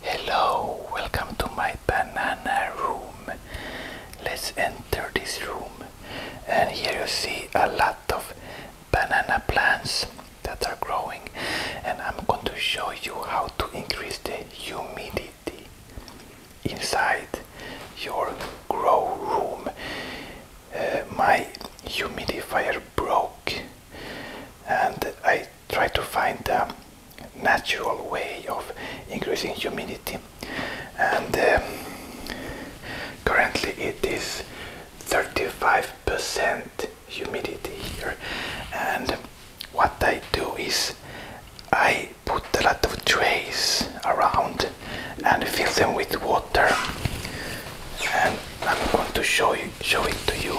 Hello, welcome to my banana room. Let's enter this room. And here you see a lot of banana plants that are growing. And I'm going to show you how to increase the humidity inside your grow room. Uh, my humidifier broke and I try to find a natural way of increasing humidity and um, currently it is 35% humidity here and what I do is I put a lot of trays around and fill them with water and I'm going to show you Show it to you.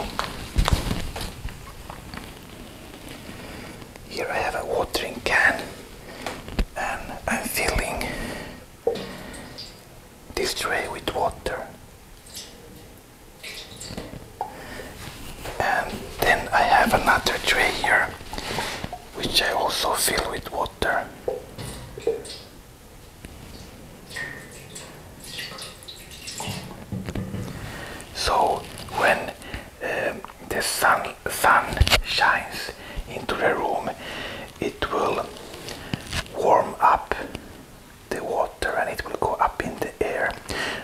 Here I have a watering can and I'm filling this tray with water. And then I have another tray here which I also fill with water. So when um, the sun sun shines into the room, it will warm up the water and it will go up in the air.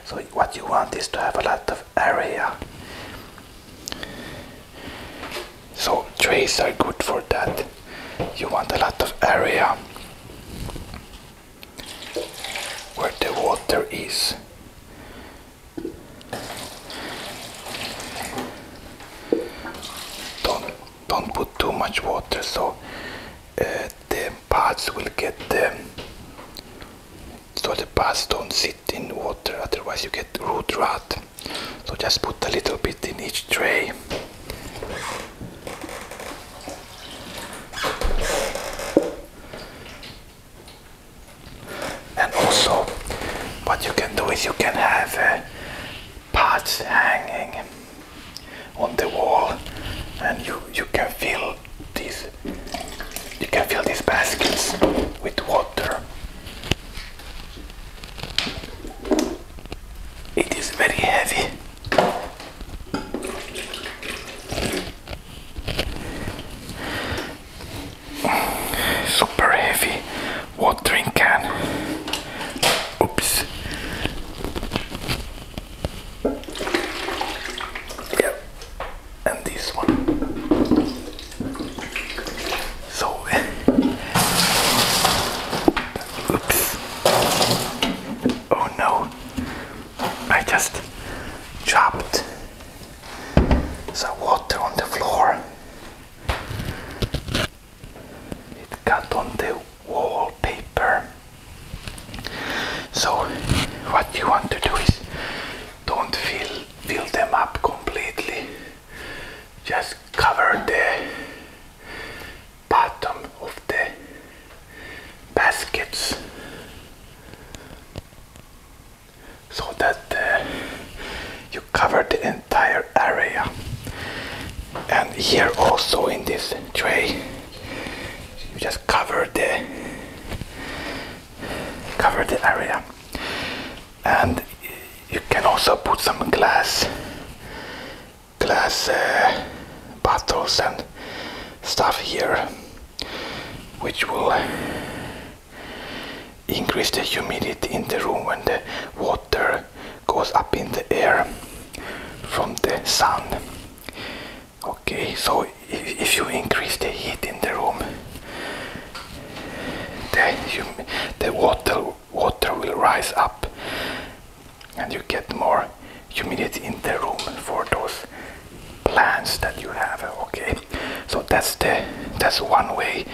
So what you want is to have a lot of area. So trees are good for that. You want a lot of area where the water is. Don't don't put too much water so uh, the pods will get the so the pods don't sit in water otherwise you get root rot so just put a little bit in each tray and also, what you can do is you can have uh, pots hanging on the wall, and you you can fill these you can fill these baskets with water. It is very heavy. Super heavy watering can. Oops. Yeah. And this one. So oops. Oh no, I just dropped some water on the floor. It got on the wallpaper. So what you want to do is don't fill fill them up completely. Just cover the bottom of the baskets so that uh, you cover the entire area and here also in this tray you just cover the cover the area and you can also put some glass glass bottles and stuff here which will increase the humidity in the room when the water goes up in the air from the sun okay so if, if you increase the heat in the room the, the water water will rise up and you get more humidity in the room for those plants that you have okay so that's the that's one way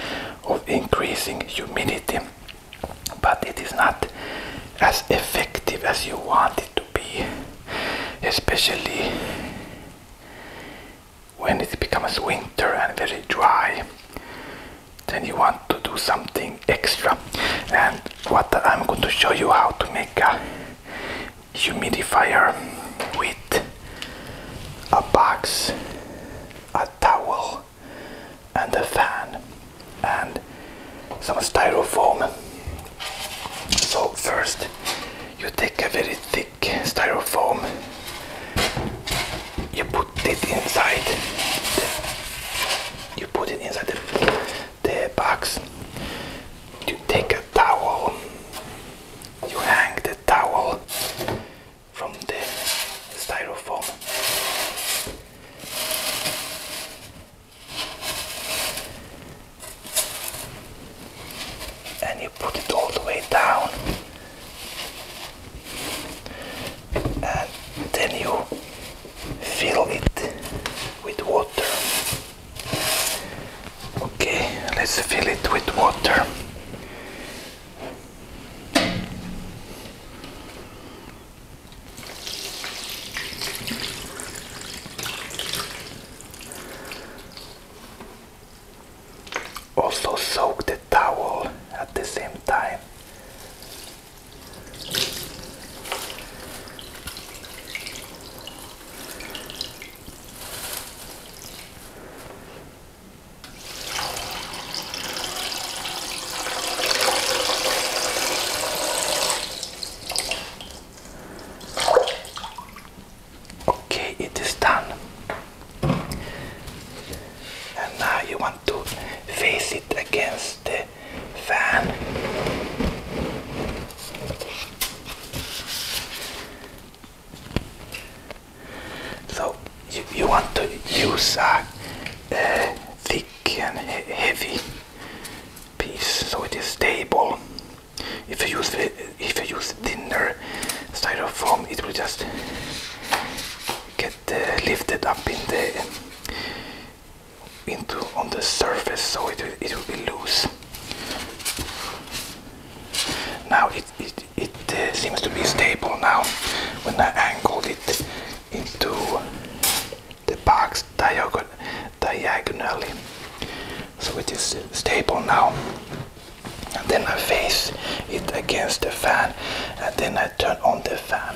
of increasing humidity but it is not as effective as you want it to be especially when it becomes winter and very dry then you want to do something extra and what I'm going to show you how to make a humidifier with a box a towel and a fan and some styrofoam so first you take a very thick styrofoam you put it inside you put it inside the, the box. You take a towel, you hang the towel from the styrofoam. And you put it all the way down then you fill it with water. Okay, let's fill it with water. Also soak the towel at the same time Okay, it is done. And now you want to face it against the fan. So if you want to use a thick and heavy piece so it is stable. If you use if you use thinner styrofoam, it will just get uh, lifted up in the into on the surface so it, it will be loose now it, it, it uh, seems to be stable now when I angled it into the box diagonally so it is stable now and then I face it against the fan and then I turn on the fan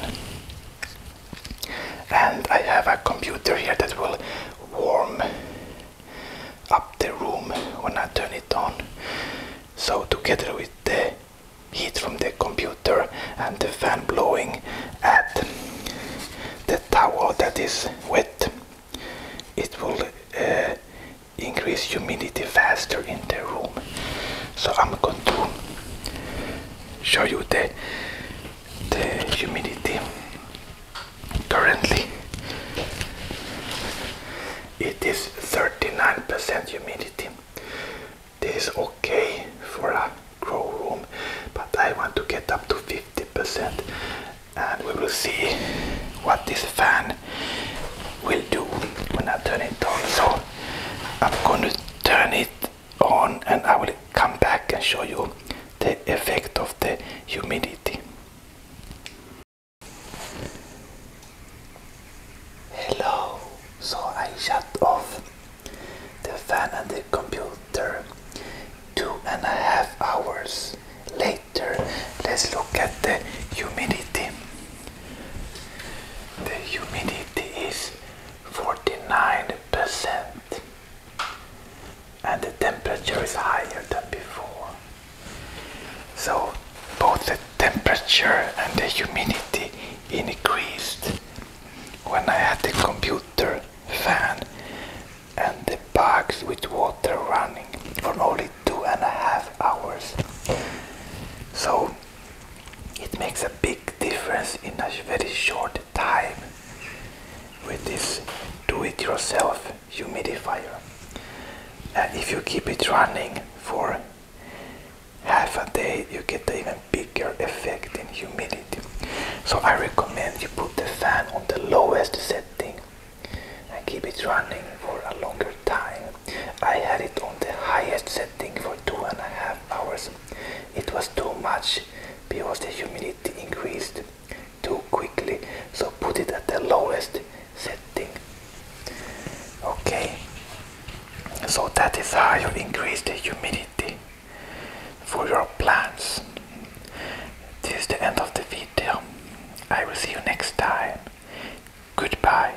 and I have a computer here that will warm up the room when I turn it on. So together with the heat from the computer and the fan blowing at the towel that is wet, it will uh, increase humidity faster in the room. So I'm going to show you the the humidity currently it is 39% humidity this is okay for a grow room but I want to get up to 50% and we will see what this fan will do when I turn it on so I'm going to turn it on and I will come back and show you the effect of the humidity. Hello, so I shut off the fan and the computer two and a half hours later. Let's look at the humidity. The humidity is 49% and the temperature is higher than before. So both the temperature and the humidity increased when I had the computer fan and the box with water running for only two and a half hours. So it makes a big difference in a very short time with this do-it-yourself humidifier. Uh, if you keep it running for half a day you get even bigger effect in humidity. So I recommend you put the fan on the lowest setting and keep it running for a longer time. I had it on the highest setting for two and a half hours. It was too much because the humidity increased too quickly, so put it at the lowest setting. Okay, so that is how you increase the humidity for your plants. This is the end of the video. I will see you next time. Goodbye.